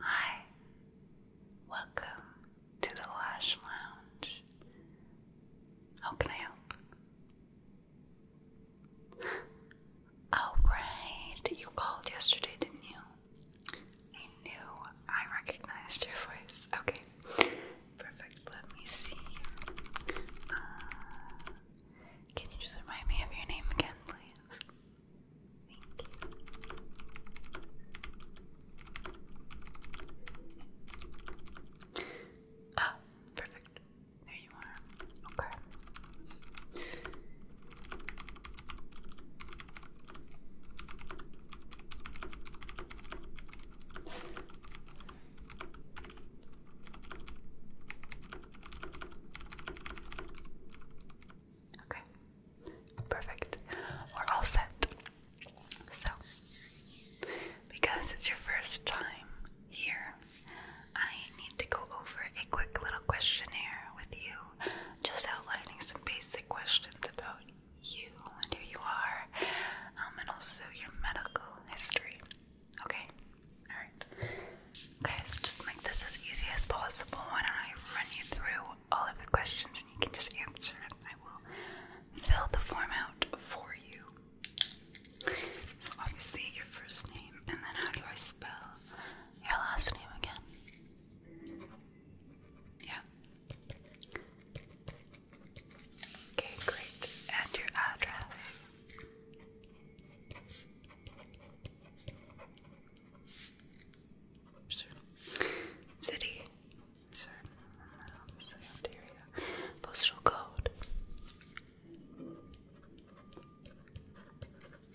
Hi, welcome to the Lash Lounge. How can I help? Oh, right, you called yesterday, didn't you? I knew I recognized your voice. Okay, perfect. Let me see. Uh, can you just remind me of your name again, please? you. Ah, perfect. There you are. Okay. Okay, perfect. We're all set. So, because it's your first time here, I need to go over a quick little questionnaire with you, just outlining some basic questions about you and who you are, um, and also your medical history. Okay? Alright. Guys, okay, so just make this as easy as possible. Why don't I run you through all of the questions and you can just answer them. I will fill the form out for you. So, obviously, your first name, and then how do I spell your last name again? Yeah. Okay, great. And your address. City. Postal code.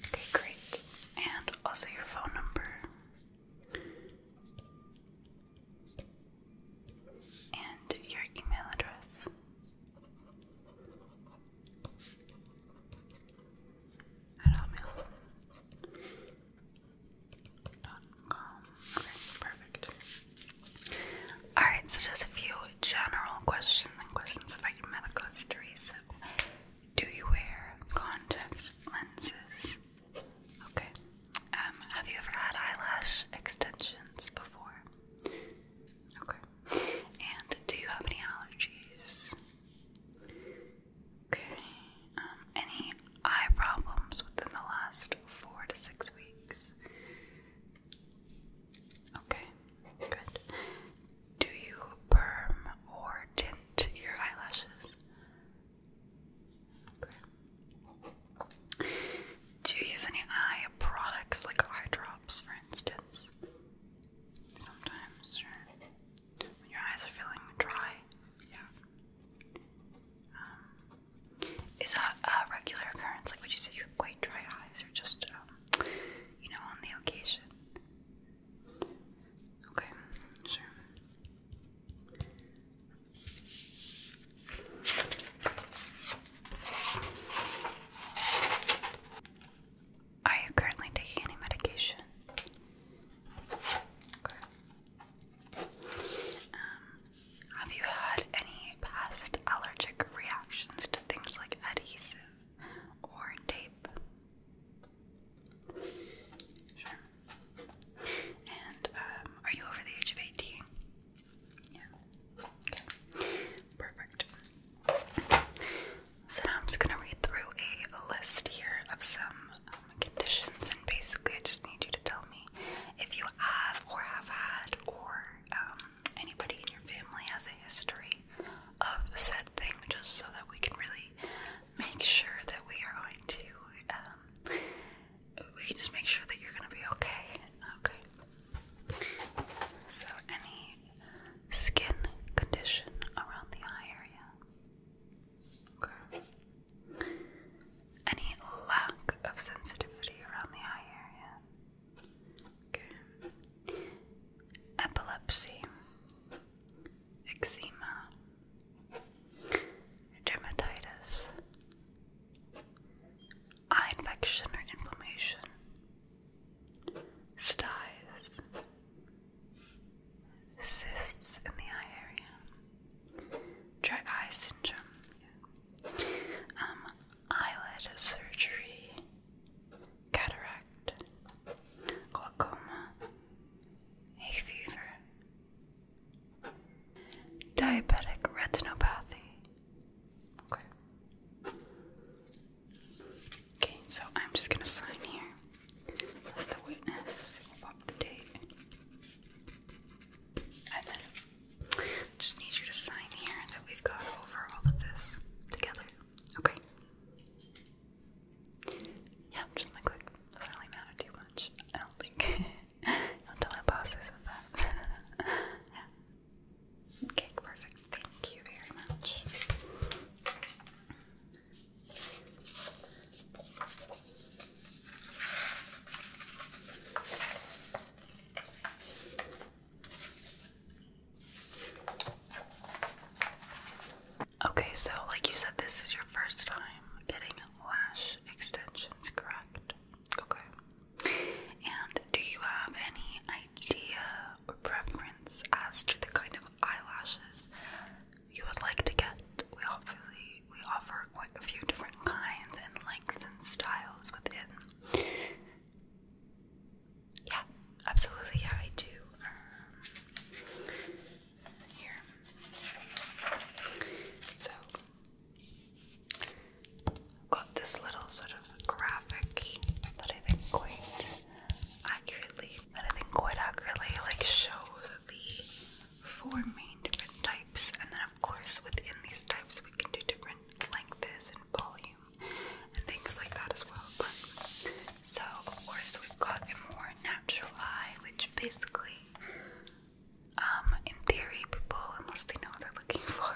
Okay, great. And also your phone number. And your email address hotmail.com. Okay, perfect. Alright, so just a few general questions and questions about your medical history. So, do you wear contact lenses? Okay. Um, have you ever had eyelash extensions before? Okay. And do you have any allergies? Okay. Um, any eye problems within the last four to six weeks? Okay. Good. Do you perm or tint your eyelashes? Okay. Do you use any eye products like eye drops, for instance? Sometimes, right? when your eyes are feeling dry. Yeah. Um, is that a regular occurrence? Like, would you say you have quite dry eyes, or just, um, you know, on the occasion? Okay, sure. Are you currently taking any medication? Um, have you had any past allergic reactions to things like adhesive or tape? Sure. And um, are you over the age of 18? Yeah. Okay. Perfect. So now I'm just gonna read through a list here of some um, conditions, and basically I just need you to tell me if you have or have had, or um, anybody in your family has a history of said thing, just so that we can really make sure that we are going to. Um, we can just make sure that you're gonna be okay. Okay. So any skin condition around the eye area. Any lack of sensitivity around the eye area? Epilepsy, eczema, dermatitis, eye infection or inflammation, styes, cysts in the eye area, dry eye syndrome, yeah. um, eyelid surgery, cataract, glaucoma, hay fever, diabetic retinopathy. Okay. Okay, so I'm just gonna sign here. That's the witness. pop the date. And then just need you to sign here that we've got over all of this together. Okay. Yeah, just like, click. Doesn't really matter too much. I don't think. I'll tell my boss that. yeah. Okay, perfect. Thank you very much. Okay, so like you said, this is your first time getting lash extensions, correct? Okay. And do you have any idea or preference as to the kind of eyelashes you would like to get. We obviously we offer quite a few different kinds and lengths and styles within. Yeah, absolutely. Yeah, I do. Um, here, so I've got this little sort of graphic that I think quite accurately that I think quite accurately like shows the four main different types, and then of course within these types we can do different lengths and volume and things like that as well. But so of course we've got a more natural eye, which basically, um, in theory, people unless they know what they're looking for,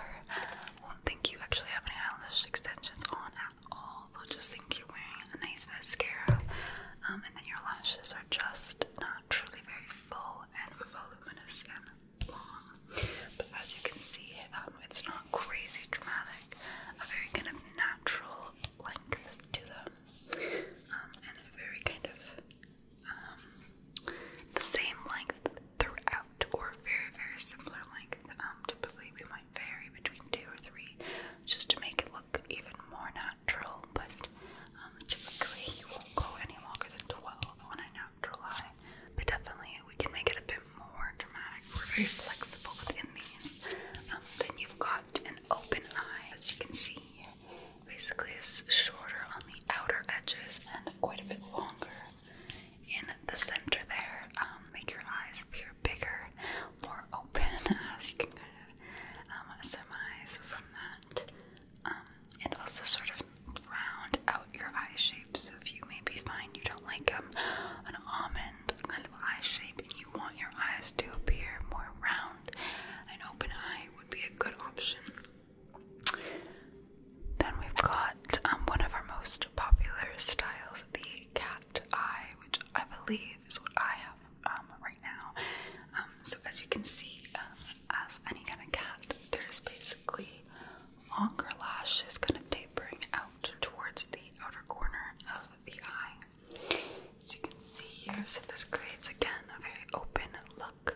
won't think you actually have any eyelash extensions on at all. They'll just you're wearing a nice mascara um, and then your lashes are just not truly very full and voluminous and long. But as you can see, um, it's not crazy dramatic, a very kind of natural length to them, um, and a very kind of the same length throughout, or very, very similar length. typically, we might vary between two or three just to make it look even more natural, but um, typically you won't go any longer than 12 on a natural eye. But definitely we can make it a bit more dramatic. We're very flexible within these. Um, then you've got an open eye, as you can see Basically it's shorter on the outer edges and quite a bit longer in the center there. Um, make your eyes appear bigger, more open, as you can um, surmise from that. Um, and also sort of round out your eye shape. So if you maybe find you don't like um, an almond kind of eye shape and you want your eyes to appear more round, an open eye would be a good option. Then we've got um, one of our most popular styles, the cat eye, which I believe is what I have um, right now. Um, so as you can see, uh, as any kind of cat, there's basically longer lashes kind of tapering out towards the outer corner of the eye. As you can see here, so this creates again a very open look,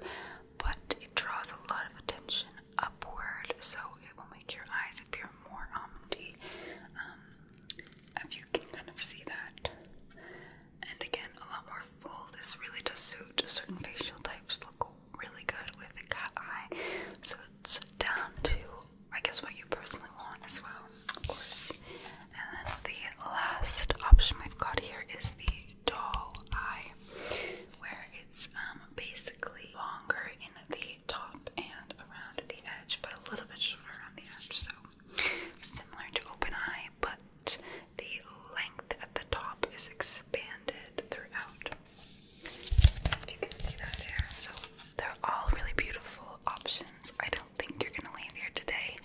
but it draws a lot of attention upward, so it will make your eyes appear more almondy. Um, if you can kind of see that, and again a lot more full. This really does suit certain facial types look really good with a cat eye. So it's down to I guess what you personally want as well, of course. And then the last option we've got here is the doll eye, where it's um, basically longer in the top and around the edge, but a little bit shorter around the edge. So similar to open eye, but the length at the top is expanded throughout. If you can see that there. So they're all really beautiful options. I don't think you're gonna leave here today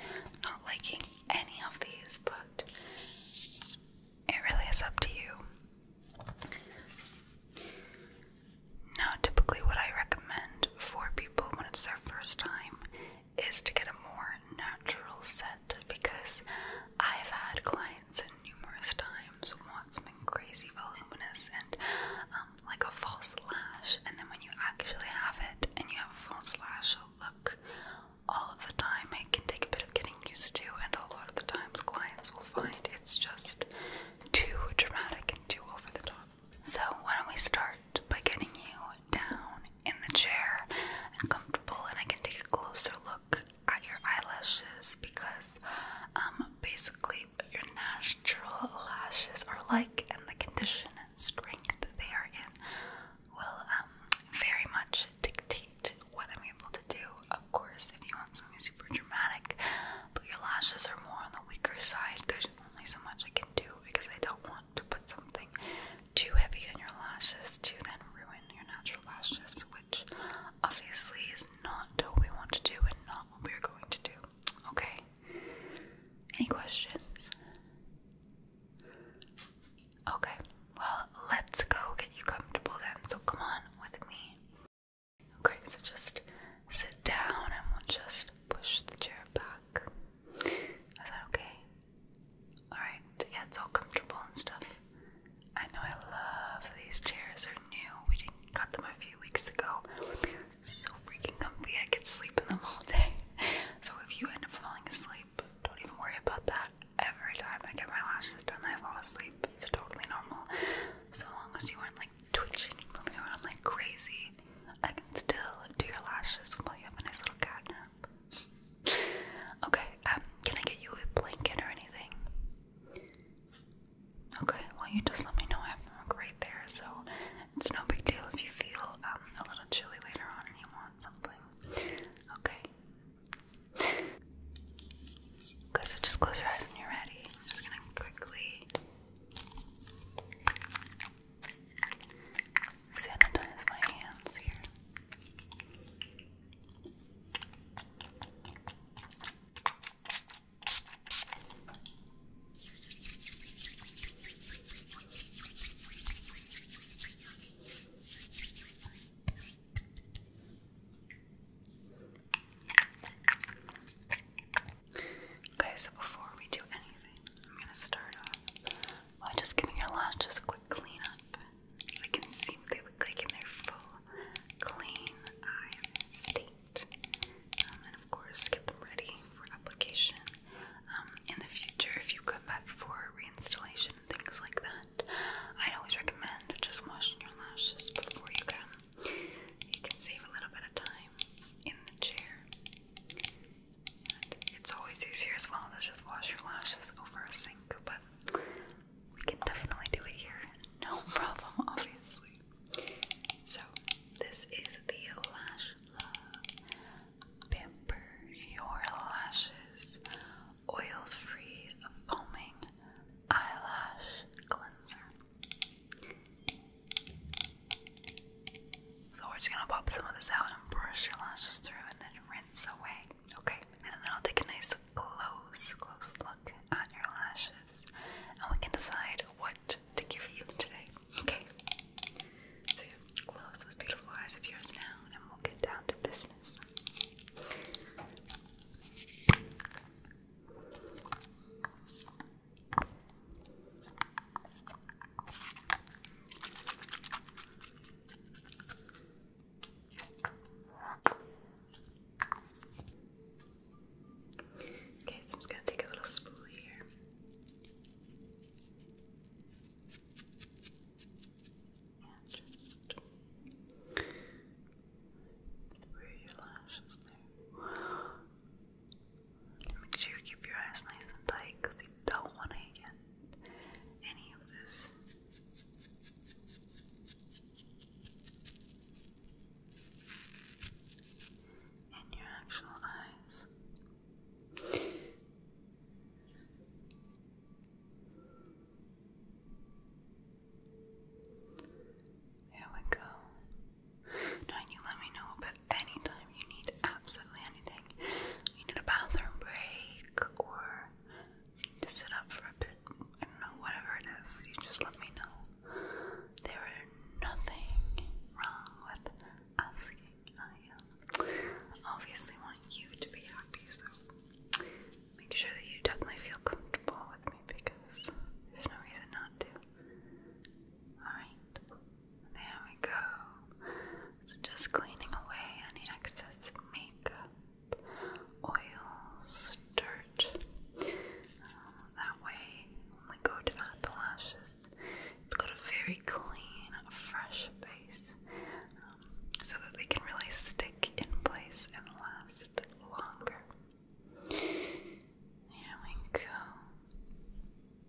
not liking any of these, but it really is up to you. Now, typically, what I recommend for people when it's their first time is to get a more natural set because I've had clients numerous times want something crazy voluminous and um, like a false lash, and then when you actually have it and you have a false lash look all of the time, it can take a bit of getting used to, and a lot of the times clients will find it's just too dramatic and too over the top. So, why don't we start by getting you down in the chair and comfortable, and I can take a closer look at your eyelashes because um, basically what your natural lashes are like and the condition and strength they are in will um, very much dictate what I'm able to do. Of course, if you want something super dramatic, but your lashes are more on the weaker side, there's only so much I can do because I don't want to put something too heavy on your lashes to then ruin your natural lashes, which obviously is not what we want to do and not what we're going to do. Okay? Any questions? Okay, well, let's go get you comfortable then. So come on with me. Okay, so just sit down and we'll just push the chair back. Is that okay? Alright, yeah, it's all comfortable and stuff. I know I love these chairs, they're new. We didn't got them a few weeks ago. They're so freaking comfy, I could sleep in them all day. So if you end up falling asleep, don't even worry about that. Every time I get my lashes done, I fall asleep. It's totally normal. So long as you aren't like twitching and going around like crazy, I can still do your lashes while you have a nice little cat nap. okay, um, can I get you a blanket or anything? Okay, well, you just let me know. I have milk right there, so it's no big deal if you feel um, a little chilly later on and you want something. Okay. Okay, so just close your eyes when you're ready. I'm just gonna quickly sanitize my hands here. Okay, so before we do anything, I'm going to start by just giving your lashes a quick clean up. So I can see what they look like in their full, clean eye state. Um, and of course, get them ready for application. Um, in the future, if you come back for reinstallation things like that, I'd always recommend just washing your lashes before you come. You can save a little bit of time in the chair it's always easier as well to just wash your lashes over a sink, but we can definitely do it here. No problem, obviously. So, this is the Lash Love Pamper Your Lashes Oil Free Foaming Eyelash Cleanser. So we're just gonna pop some of this out and brush your lashes through and then rinse away. Okay, and then I'll take a nice close, close look at your lashes and we can decide what to give you today. Okay. So close those beautiful eyes of yours now and we'll get down to business. Okay, so I'm just gonna take a little spoolie here. And just where your lashes there. Make sure you keep your eyes nice and tight because you don't want to get any of this. In your actual eyes. There we go. Now you let me know what anytime you need absolutely anything. You need a bathroom break or you need to sit up for a bit, I don't know, whatever it is, you just let me know. There is nothing wrong with asking. I um, obviously want you to be happy, so make sure that you definitely feel comfortable with me because there's no reason not to. Alright? There we go. So just cleaning away any excess makeup, oils, dirt. Um, that way, when we go to add the lashes, it's got a very clean, fresh base um, so that they can really stick in place and last longer. There we go.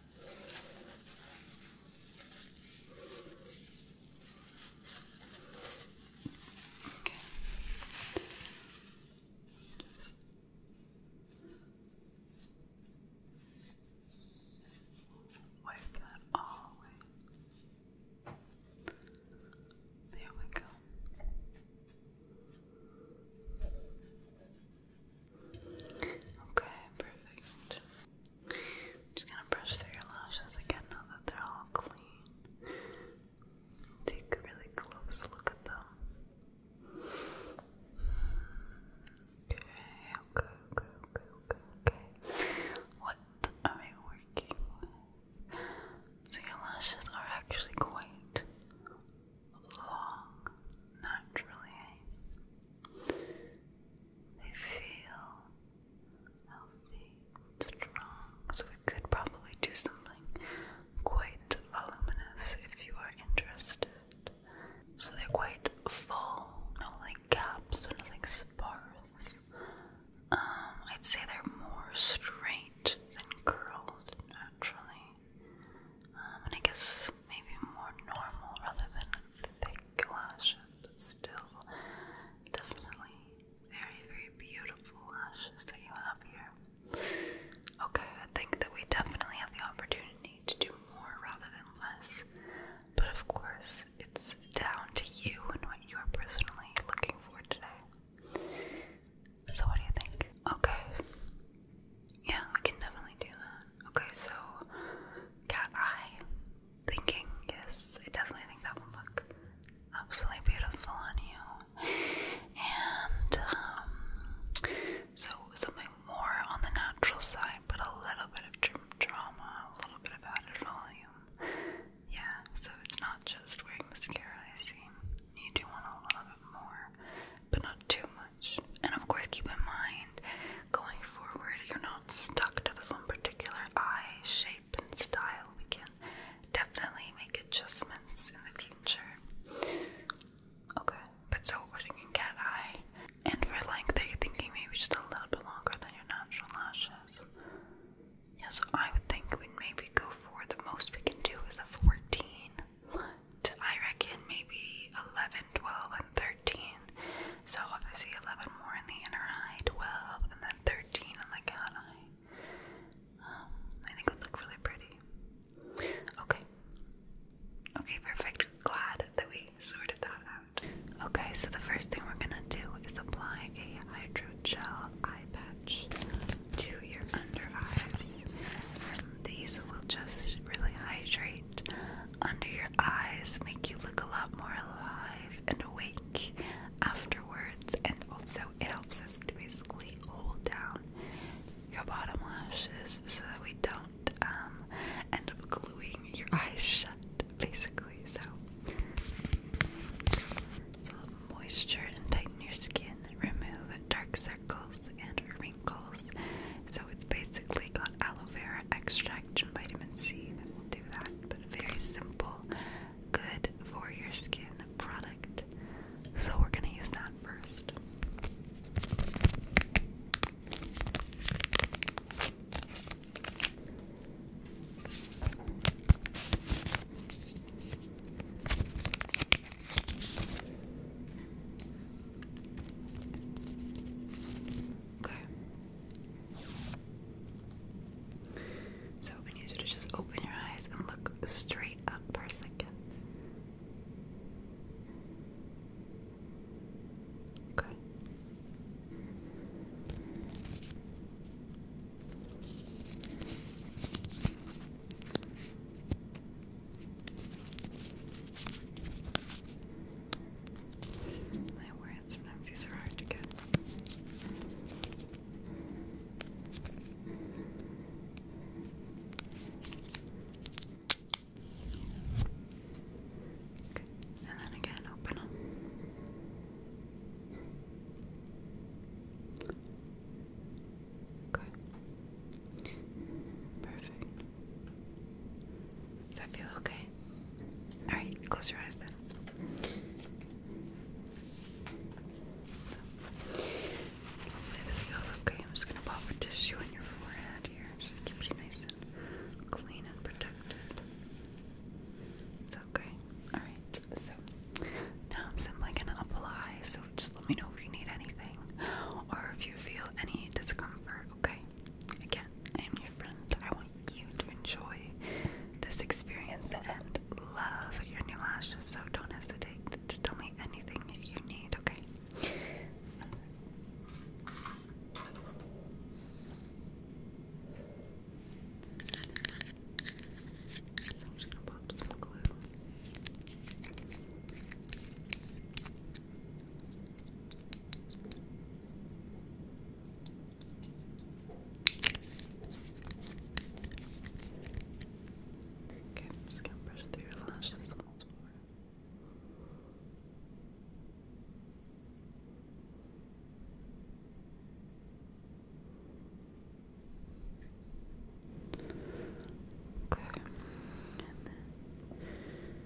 Okay. Just wipe that all away. There we go. Okay, perfect. I'm just gonna brush through your lashes again now that they're all clean. Take a really close look at them. okay, okay, okay, okay, okay. What are we working with? So your lashes are actually quite long, naturally. They feel healthy strong. So we could probably do something quite voluminous if you are interested. So they're quite full, no like gaps or nothing sparse. Um, I'd say they're more straight than curled naturally. Um, and I guess maybe more normal rather than thick lashes, but still definitely very, very beautiful lashes that you have here. Okay, I think that we definitely have the opportunity to do more rather than less, but of course, it's down to you and what you are personally looking for today. So, what do you think? Okay. Yeah, we can definitely do that. Okay, so cat eye thinking. Yes, I definitely think that will look absolutely beautiful on you. And um, so something more on the natural side, but a little bit of drama, a little bit of added volume. Yeah, so it's not just wearing mascara, I see. You do want a little bit more, but not too much. And of course, keep in mind going forward, you're not stuck to this one particular eye shape and style. We can definitely make adjustments in the future. Okay, but so we're thinking cat eye. And for length, are you thinking maybe just a little bit longer than your natural lashes? Yes, I would think we'd maybe go for the most we can do is a 14. I reckon maybe 11 12, and 13. So obviously 11 more in the inner eye, 12, and then 13 in the cat eye. Um, I think would look really pretty. Okay. Okay, perfect. Glad that we sorted that out. Okay, so the first thing we're gonna do is apply a hydrogel eye patch to your under eyes. And um, these will just really hydrate under your eyes make you look a lot more alive and awake afterwards and also it helps us to basically hold down your bottom lashes so that we don't um, end up gluing your eyes shut basically so so moisture and tighten your skin remove dark circles and wrinkles so it's basically got aloe vera extract and vitamin C that will do that. But very simple, good for your skin product. So we're gonna use that first. Okay. So I need you to just open your eyes and look straight up for a second. Okay. My words, sometimes these are hard to get. And then again, open them. Okay. Perfect. Does that feel okay? Alright, close your eyes then. this feels okay. I'm just gonna pop a tissue on your forehead here. Just keep you nice and clean and protected. It's okay. Alright, so now I'm simply gonna apply, so just let me know if you need anything or if you feel any discomfort, okay? Again, I am your friend. I want you to enjoy this experience and love your new lashes, so don't hesitate to tell me anything if you need, okay? I'm just gonna pop some glue. Okay. Okay, just gonna brush through your lashes once more. Okay,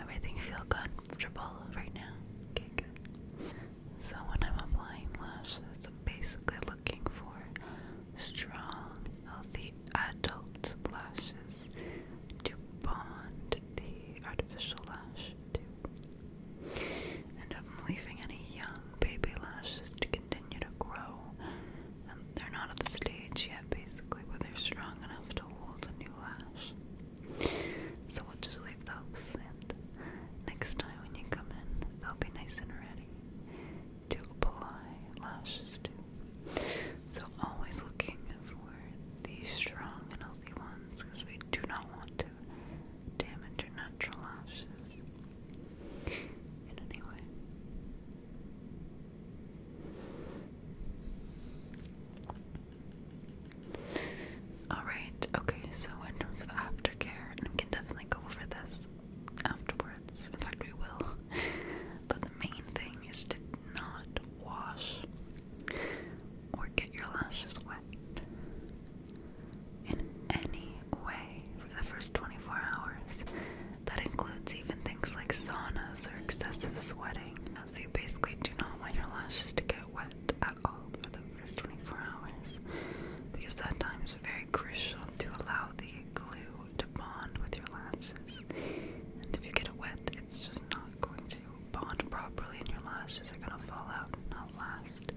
Everything feel comfortable right now? Okay, So when I'm applying lashes, I'm basically looking for strong, healthy adult lashes to bond the artificial lash to. And I'm leaving any young baby lashes to continue to grow um, they're not at the stage yet, basically, where they're strong enough to hold a new lash. So we'll just leave those, and next time when you come in, they'll be nice and ready to apply lashes to. So always looking for these strong and healthy ones, because we do not want to damage your natural lashes. In any way. Alright, okay, so in terms of aftercare, and we can definitely go over this afterwards. In fact, we will. But the main thing is to not wash or get your lashes wet in any way for the first 24 hours. That includes even things like saunas or excessive sweating. So you basically do not want your lashes to get wet at all for the first 24 hours because that time is very crucial to allow the glue to bond with your lashes. And if you get it wet, it's just not going to bond properly and your lashes are going to fall out and not last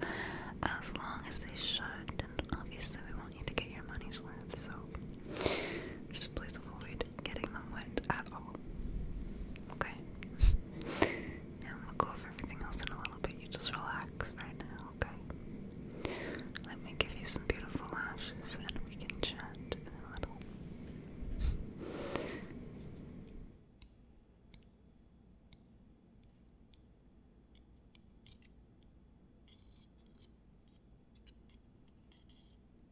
as long as they should. And obviously we want you to get your money's worth, so just please avoid getting them wet at all. Okay? now will go over everything else in a little bit. You just relax right now, okay? Let me give you some beautiful lashes and we can chat in a little.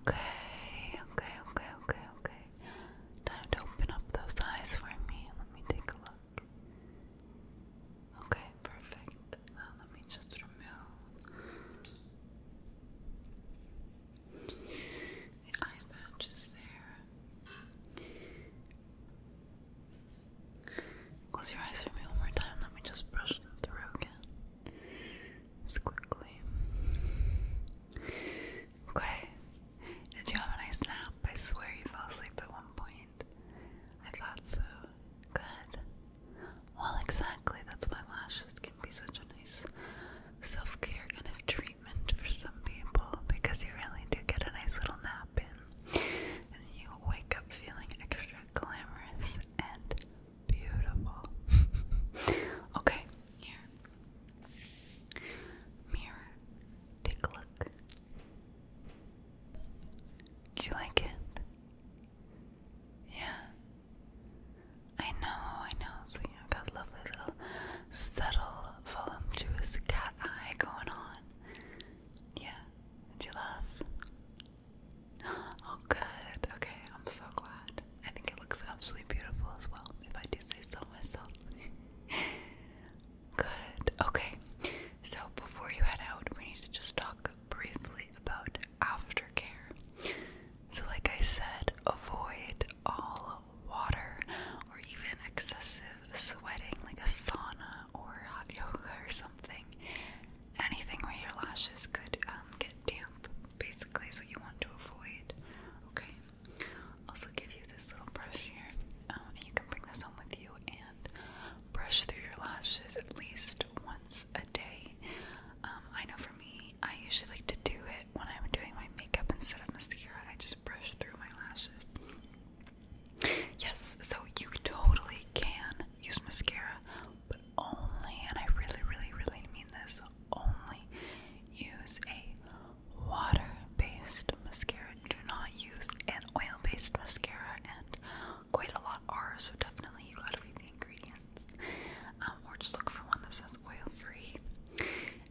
Okay, okay, okay, okay, okay. Time to open up those eyes for me. Let me take a look. Okay, perfect. Now let me just remove the eye patches there. Close your eyes for me one more time. Let me just brush them through again. Just quickly. Okay. Did you have a nice nap? I swear you fell asleep at one point. I thought so. Good. Well, exactly. That's why lashes can be such a nice self care kind of treatment for some people because you really do get a nice little nap in. And you wake up feeling extra glamorous and Beautiful. okay, here. Mirror. Take a look. Do you like it? Yeah. I know, I know. So you got lovely little subtle, voluptuous cat eye going on. Yeah. Would you love? Oh, good. Okay, I'm so glad. I think it looks absolutely beautiful as well, if I do say so myself. good. Okay, so before you head out, we need to just talk briefly about aftercare. So, like I said, avoid all water or even excessive sweating, like a sauna or hot yoga or something anything where your lashes could um, get damp, basically, so you want to avoid. Okay. Also, give you this little brush here, um, and you can bring this home with you and brush through your lashes at least once a day. Um, I know for me, I usually like to do it when I'm doing my makeup instead of mascara. I just brush through my lashes. Yes, so you totally can use mascara but only, and I really, really, really mean this, only use a water-based mascara. Do not use an oil-based mascara, and quite a lot are, so definitely you gotta read the ingredients. Um, or just look for one that says oil-free.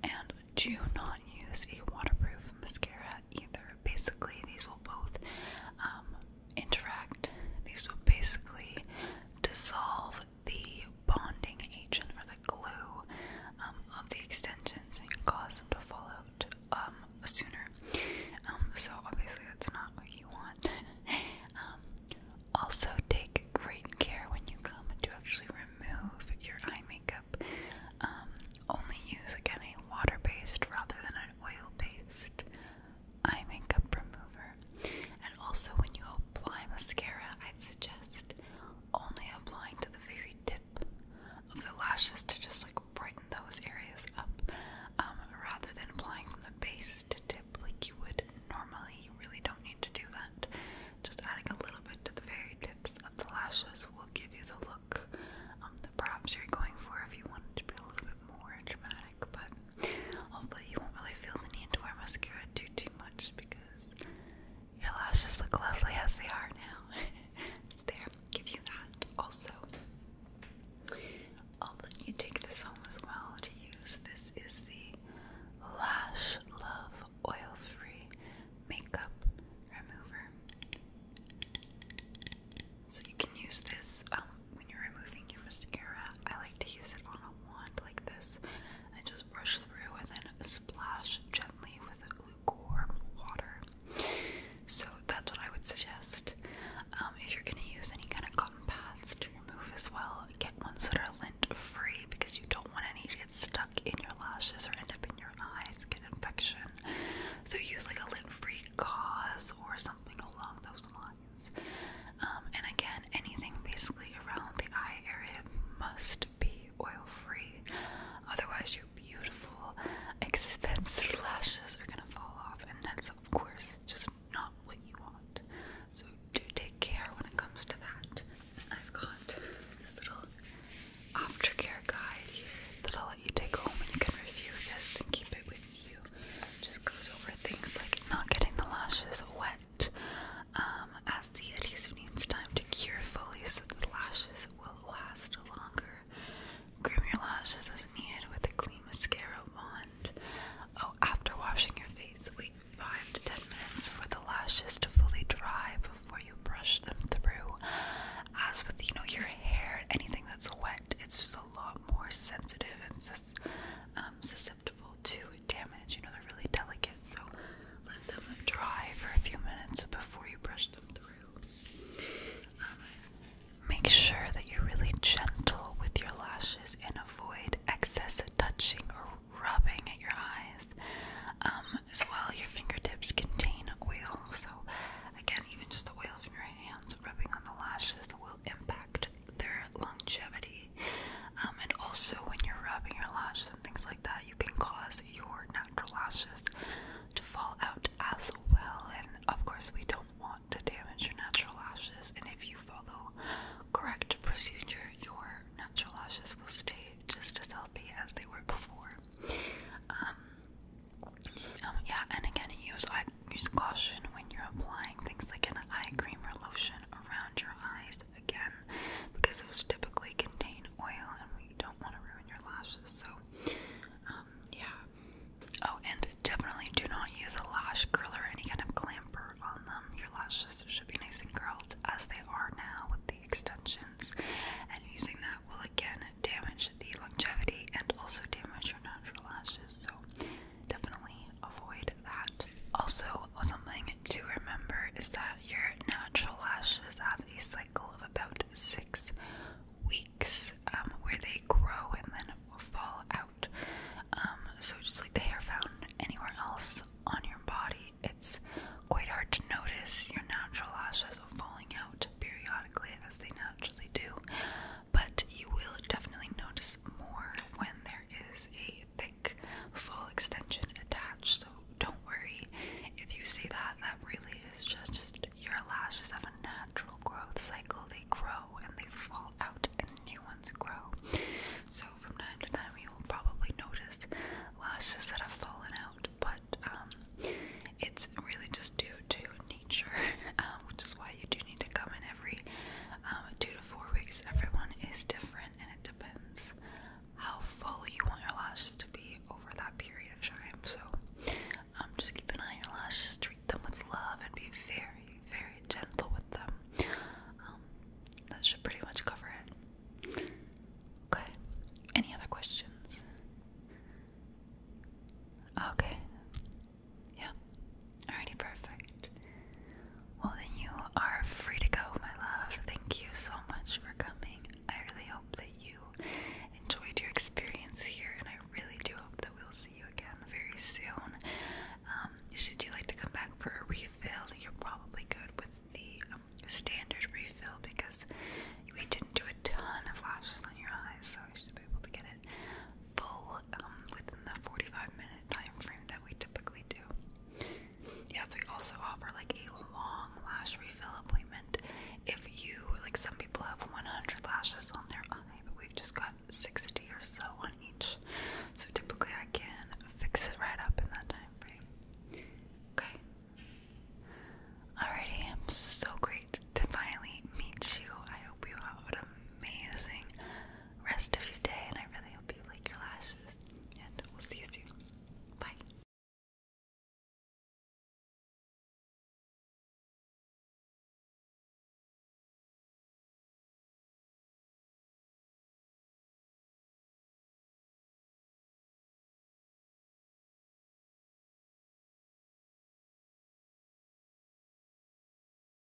And do not use a waterproof mascara either. Basically, these will both um, interact, these will basically dissolve the bonding agent or the glue um, of the extensions and cause them to fall out um, sooner. Um, so, obviously, that's not what you want. also, take great care when you come to actually remove your eye makeup. only use again a water based rather than an oil based eye makeup remover. And also, when you apply mascara, I'd suggest only applying to the very tip of the lashes to just like brighten those areas up um, rather than applying from the base to tip like you would normally. You really don't need to do that. Just adding a little bit to the very tips of the lashes will give you the look um, that perhaps you're going for if you want it to be a little bit more dramatic. But Hopefully you won't really feel the need to wear mascara too too much because your lashes look lovely as they are now. there. Give you that. Also, I'll let you take this home as well to use. This is the Lash Love Oil-Free Makeup Remover. So you can use this um, when you're removing your mascara. I like to use it on a wand like this and just brush through and then splash gently with lukewarm water. So that's what I would suggest. Um, if you're going to use any kind of cotton pads to remove as well, get ones that are lint free because you don't want any to get stuck in your lashes or end up in your eyes, get infection. So use like a lint free gauze or something along those lines. Um, and again, anything basically around the eye area must be oil free, otherwise, your beautiful, expensive lashes are gonna fall off, and that's, of course, just not what you want. So, do take care when it comes to that. I've got this little aftercare guide here that I'll let you take home and you can review this and keep it with you just goes over things like not getting the lashes wet, um, as the adhesive needs time to cure fully so the lashes will last longer. Groom your lashes as needed with a clean mascara wand. Oh, after washing your face, wait 5 to 10 minutes for the lashes to fully dry before you brush them through. As with, you know, your hair, anything that's wet, it's just a lot more sensitive and um, susceptible to damage. You know, they're really delicate, so let them dry for a few minutes before you brush them through. Um, make sure that you're really gentle with your lashes and avoid excess touching or rubbing at your eyes. Um, as well, your fingertips contain oil, so again, even just the oil from your hands rubbing on the lashes will impact their longevity. Um, and also, when you're rubbing your lashes and things like that, you can cause your natural lashes to fall out as well. And of course, we don't want to damage your natural lashes. And if you follow correct procedure, your natural lashes will stay just as healthy as they were before. Um, um, yeah, and again, use use caution when you're applying things like an eye cream or lotion around your eyes again because those typically contain oil and we don't want to ruin your lashes. So, um, yeah. Oh, and definitely do not use a lash curler or any kind of clamper on them. Your lashes should be nice and curled as they are now with the extensions, and using that will again damage the longevity and also damage your natural lashes. So, definitely avoid that. Also, something to remember is that your natural lashes have a cycle of about six weeks um, where they grow and then fall out. Um, so, just like the hair found anywhere else on your body, it's quite hard to notice your natural lashes are falling out periodically as they naturally do but you will definitely notice more when there is a thick full extension attached. So don't worry if you see that, that really is just your lashes have a natural growth cycle. They grow and they fall out, and new ones grow. So from time to time, you will probably notice lashes that have fallen out, but um, it's really just due to nature, um, which is why you do need to come in every um, two to four weeks. Everyone is different, and it depends how full you want your lashes to be over that period of time. So, um, just keep an eye on your lashes, treat them with love, and be very, very gentle with them. Um, that should pretty much cover it. Okay. Any other questions? Okay. Yeah. Alrighty, perfect. Well, then you are free to go, my love. Thank you so much for coming. I really hope that you enjoyed your experience here, and I really do hope that we'll see you again very soon. Um, should you like to come back for a refill, you're probably good with the um, standard refill because we didn't do a ton of lashes on your eyes, so you should be able to get it full um, within the 45 minutes minute time frame that we typically do. Yes, we also offer like a long lash refill appointment. If you like, some people have 100 lashes on their eye, but we've just got 60 or so on each. So typically, I can fix it right up in that time frame. Okay. Alrighty, I'm so great to finally meet you. I hope you have an amazing rest of your day, and I really hope you like your lashes. And we'll see you soon. Bye.